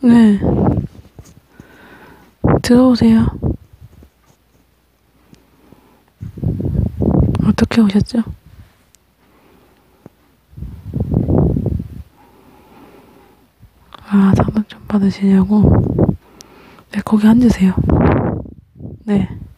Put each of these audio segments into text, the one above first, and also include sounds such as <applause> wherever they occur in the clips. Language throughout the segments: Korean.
네. 들어오세요. 어떻게 오셨죠? 아, 상담 좀 받으시냐고? 네, 거기 앉으세요. 네.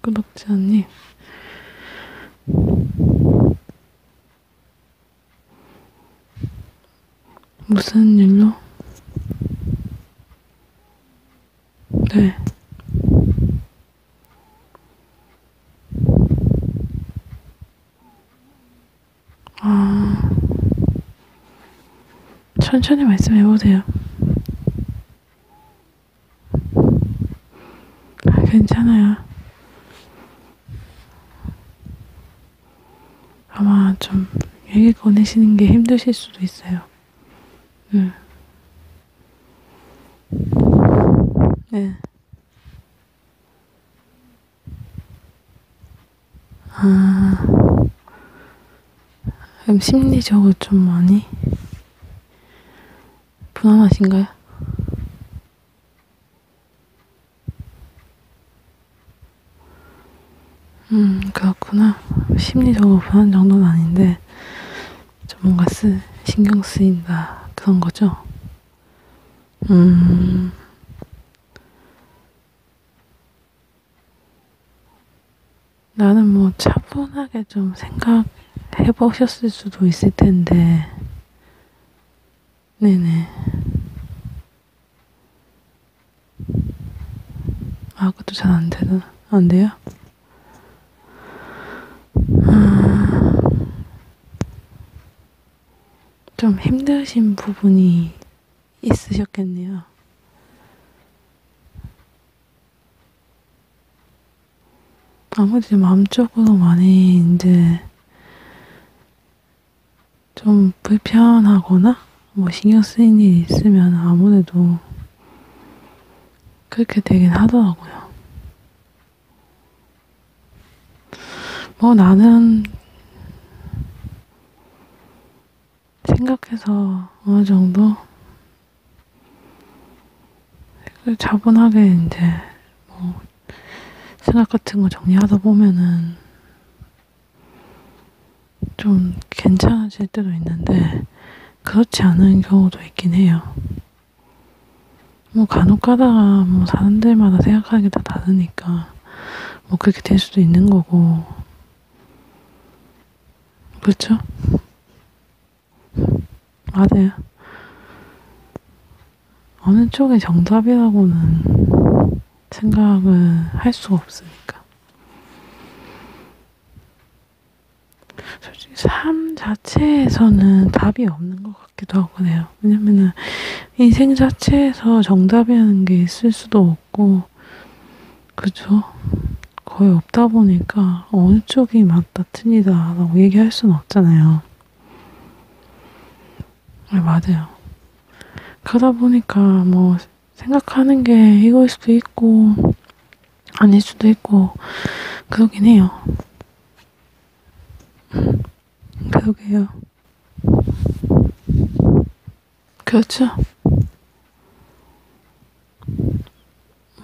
구독자님. 무슨 일로? 네. 아, 천천히 말씀해보세요. 아, 괜찮아요. 아마 좀 얘기 꺼내시는 게 힘드실 수도 있어요. 응. 네. 네. 아, 그럼 심리적으로 좀 많이? 불안하신가요? 음, 그렇구나. 심리적으로 불안 정도는 아닌데, 좀 뭔가 쓰, 신경 쓰인다. 그런 거죠? 음. 나는 뭐 차분하게 좀 생각해 보셨을 수도 있을 텐데, 네네. 아, 그것도 잘 안 되나? 안 돼요? 아, 좀 힘드신 부분이 있으셨겠네요. 나머지 마음적으로 많이 이제 좀 불편하거나 뭐 신경 쓰인 일이 있으면 아무래도 그렇게 되긴 하더라고요. 뭐 나는 생각해서 어느 정도 자본하게 이제 뭐 생각 같은 거 정리하다 보면은 좀 괜찮아질 때도 있는데 그렇지 않은 경우도 있긴 해요. 뭐 간혹 가다가 뭐 사는 데마다 생각하는 게 다 다르니까 뭐 그렇게 될 수도 있는 거고 그렇죠? 맞아요. 어느 쪽이 정답이라고는 생각을 할 수가 없으니까. 솔직히 삶 자체에서는 답이 없는 것 같기도 하고 그래요. 왜냐면은 인생 자체에서 정답이라는 게 있을 수도 없고, 그죠? 거의 없다 보니까 어느 쪽이 맞다 틀리다 라고 얘기할 수는 없잖아요. 네, 맞아요. 그러다 보니까 뭐 생각하는 게 이거일 수도 있고 아닐 수도 있고 그러긴 해요. 그러게요. 그렇죠.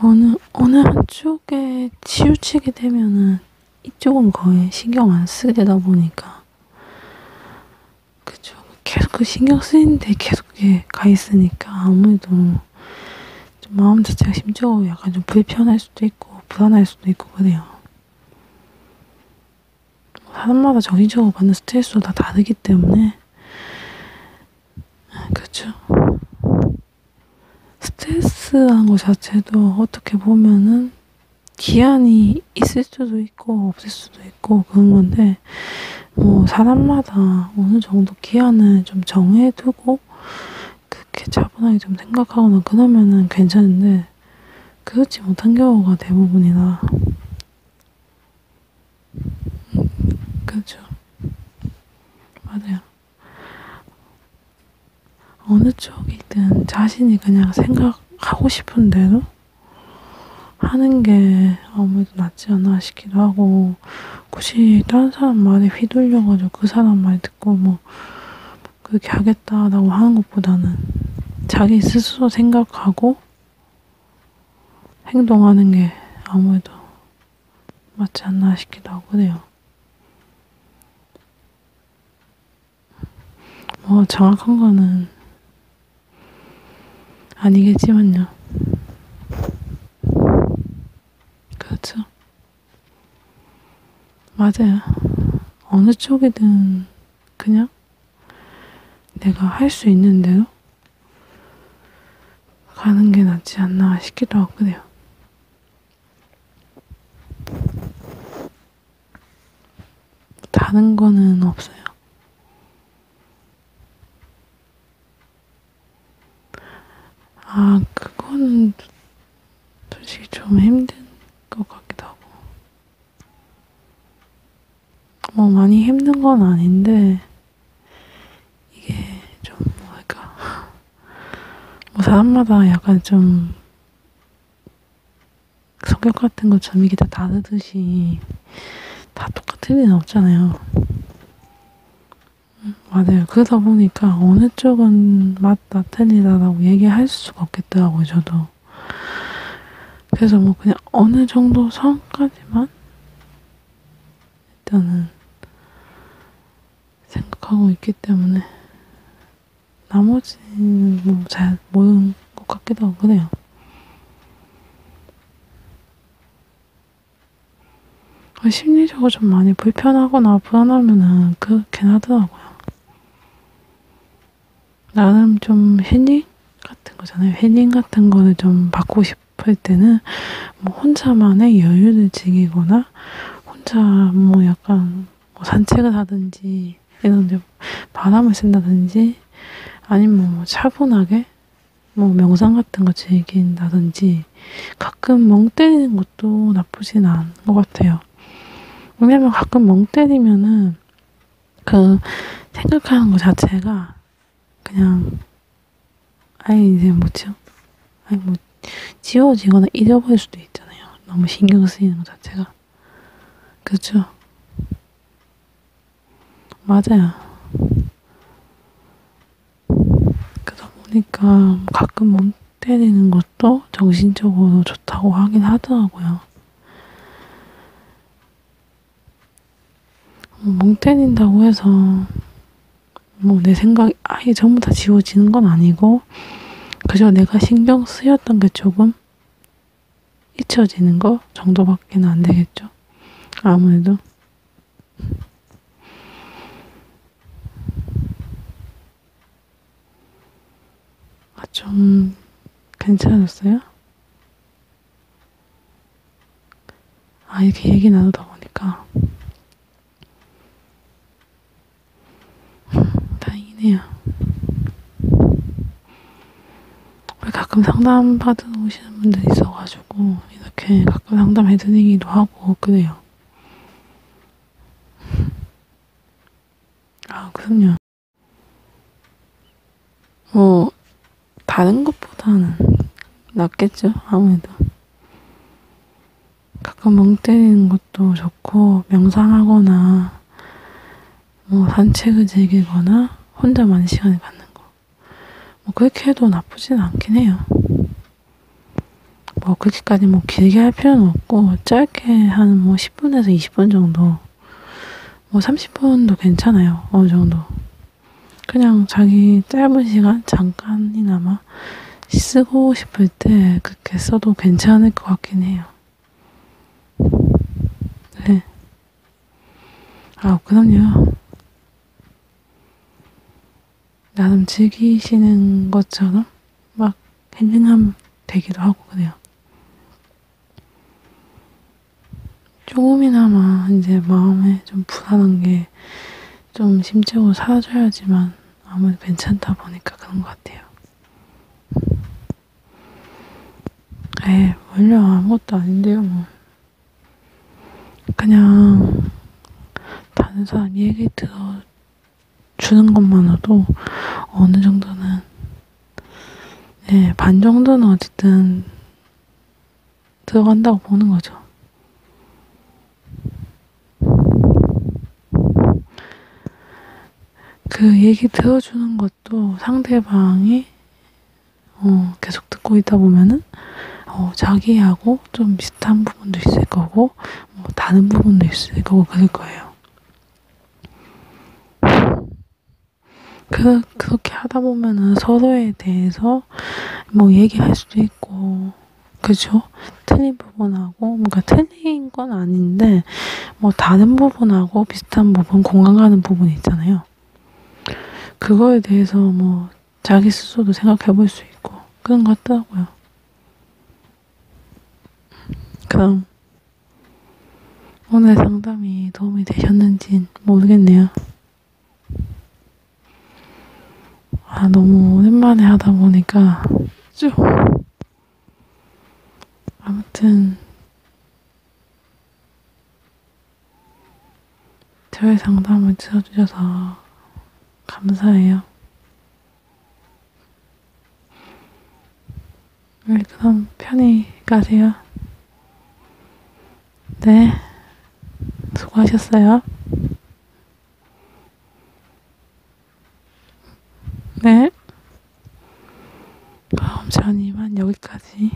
어느, 어느 한쪽에 치우치게 되면은 이쪽은 거의 신경 안 쓰게 되다 보니까 그죠. 계속 그 신경 쓰이는데 계속 이게 가 있으니까 아무래도 좀 마음 자체가 심적으로 약간 좀 불편할 수도 있고 불안할 수도 있고 그래요. 사람마다 정신적으로 받는 스트레스도 다 다르기 때문에 그죠? 스트레스한 것 자체도 어떻게 보면은 기한이 있을 수도 있고 없을 수도 있고 그런 건데 뭐 사람마다 어느 정도 기한을 좀 정해두고 그렇게 차분하게 좀 생각하거나 그러면은 괜찮은데 그렇지 못한 경우가 대부분이다. 그죠. 맞아요. 어느 쪽이든 자신이 그냥 생각하고 싶은 대로 하는 게 아무래도 낫지 않나 싶기도 하고, 굳이 다른 사람 말에 휘둘려가지고 그 사람 말 듣고 뭐, 그렇게 하겠다라고 하는 것보다는 자기 스스로 생각하고, 행동하는 게 아무래도 맞지 않나 싶기도 하고 해요. 뭐 정확한 거는 아니겠지만요. 그렇죠. 맞아요. 어느 쪽이든 그냥 내가 할 수 있는 대로 가는 게 낫지 않나 싶기도 하고 그래요. 다른 거는 없어요. 아, 그거는 솔직히 좀 힘든 것 같기도 하고. 뭐 많이 힘든 건 아닌데 이게 좀 뭐랄까 뭐 사람마다 약간 좀 성격 같은 것좀 이게 다 다르듯이 다 똑같은 일은 없잖아요. 음, 맞아요. 그러다 보니까 어느 쪽은 맞다 틀리다라고 얘기할 수가 없겠더라고요. 저도 그래서 뭐 그냥 어느 정도 선까지만 일단은 생각하고 있기 때문에 나머지는 뭐 잘 모르는 것 같기도 하고 그래요. 아, 심리적으로 좀 많이 불편하거나 불안하면은 그렇긴 하더라고요. 나름 좀 해닝 같은 거잖아요. 해닝 같은 거를 좀 받고 싶을 때는 뭐 혼자만의 여유를 즐기거나 혼자 뭐 약간 뭐 산책을 하든지 이런 데 바람을 쐰다든지 아니면 뭐 차분하게 뭐 명상 같은 거 즐긴다든지 가끔 멍 때리는 것도 나쁘진 않은 것 같아요. 왜냐면 가끔 멍 때리면은 그 생각하는 것 자체가 그냥 아예 이제 뭐죠? 아니 뭐 지워지거나 잊어버릴 수도 있잖아요. 너무 신경 쓰이는 것 자체가 그렇죠. 맞아요. 그러다 보니까 가끔 몸 때리는 것도 정신적으로 좋다고 하긴 하더라고요. 멍 때린다고 해서 뭐 내 생각이 아예 전부 다 지워지는 건 아니고 그저 내가 신경 쓰였던 게 조금 잊혀지는 거 정도밖에 는안 되겠죠. 아무래도. 아, 좀 괜찮았어요? 아, 이렇게 얘기 나누다 보니까 <laughs> 다행이네요. 우리 가끔 상담 받으러 오시는 분들 있어가지고 이렇게 가끔 상담해드리기도 하고 그래요. <laughs> 아, 그럼요. 뭐, 다른 것보다는 낫겠죠, 아무래도. 가끔 멍 때리는 것도 좋고, 명상하거나, 뭐, 산책을 즐기거나, 혼자만 시간을 갖는 거. 뭐, 그렇게 해도 나쁘진 않긴 해요. 뭐, 그렇게까지 뭐, 길게 할 필요는 없고, 짧게 한 뭐, 10분에서 20분 정도 뭐 30분도 괜찮아요. 어느 정도. 그냥 자기 짧은 시간 잠깐이나마 쓰고 싶을 때 그렇게 써도 괜찮을 것 같긴 해요. 네. 아, 그럼요. 나름 즐기시는 것처럼 막 헨딩함 되기도 하고 그래요. 조금이나마 이제 마음에 좀 불안한 게 좀 심적으로 사라져야지만 아무래도 괜찮다 보니까 그런 것 같아요. 에, 네, 원래 아무것도 아닌데요, 뭐. 그냥 다른 사람 얘기 들어 주는 것만으로도 어느 정도는 네, 반 정도는 어쨌든 들어간다고 보는 거죠. 그 얘기 들어주는 것도 상대방이 어, 계속 듣고 있다 보면은 어, 자기하고 좀 비슷한 부분도 있을 거고 뭐 다른 부분도 있을 거고 그럴 거예요. 그, 그렇게 하다 보면은 서로에 대해서 뭐 얘기할 수도 있고, 그죠? 틀린 부분하고, 뭔가 틀린 건 아닌데, 뭐 다른 부분하고 비슷한 부분, 공감 가는 부분 있잖아요. 그거에 대해서 뭐 자기 스스로도 생각해 볼 수 있고, 그런 것 같더라고요. 그럼 오늘 상담이 도움이 되셨는진 모르겠네요. 아, 너무 오랜만에 하다 보니까 쭉. 아무튼, 저의 상담을 들어주셔서 감사해요. 오늘 그럼 편히 가세요. 네. 수고하셨어요. 네. 그럼 전 이만 여기까지.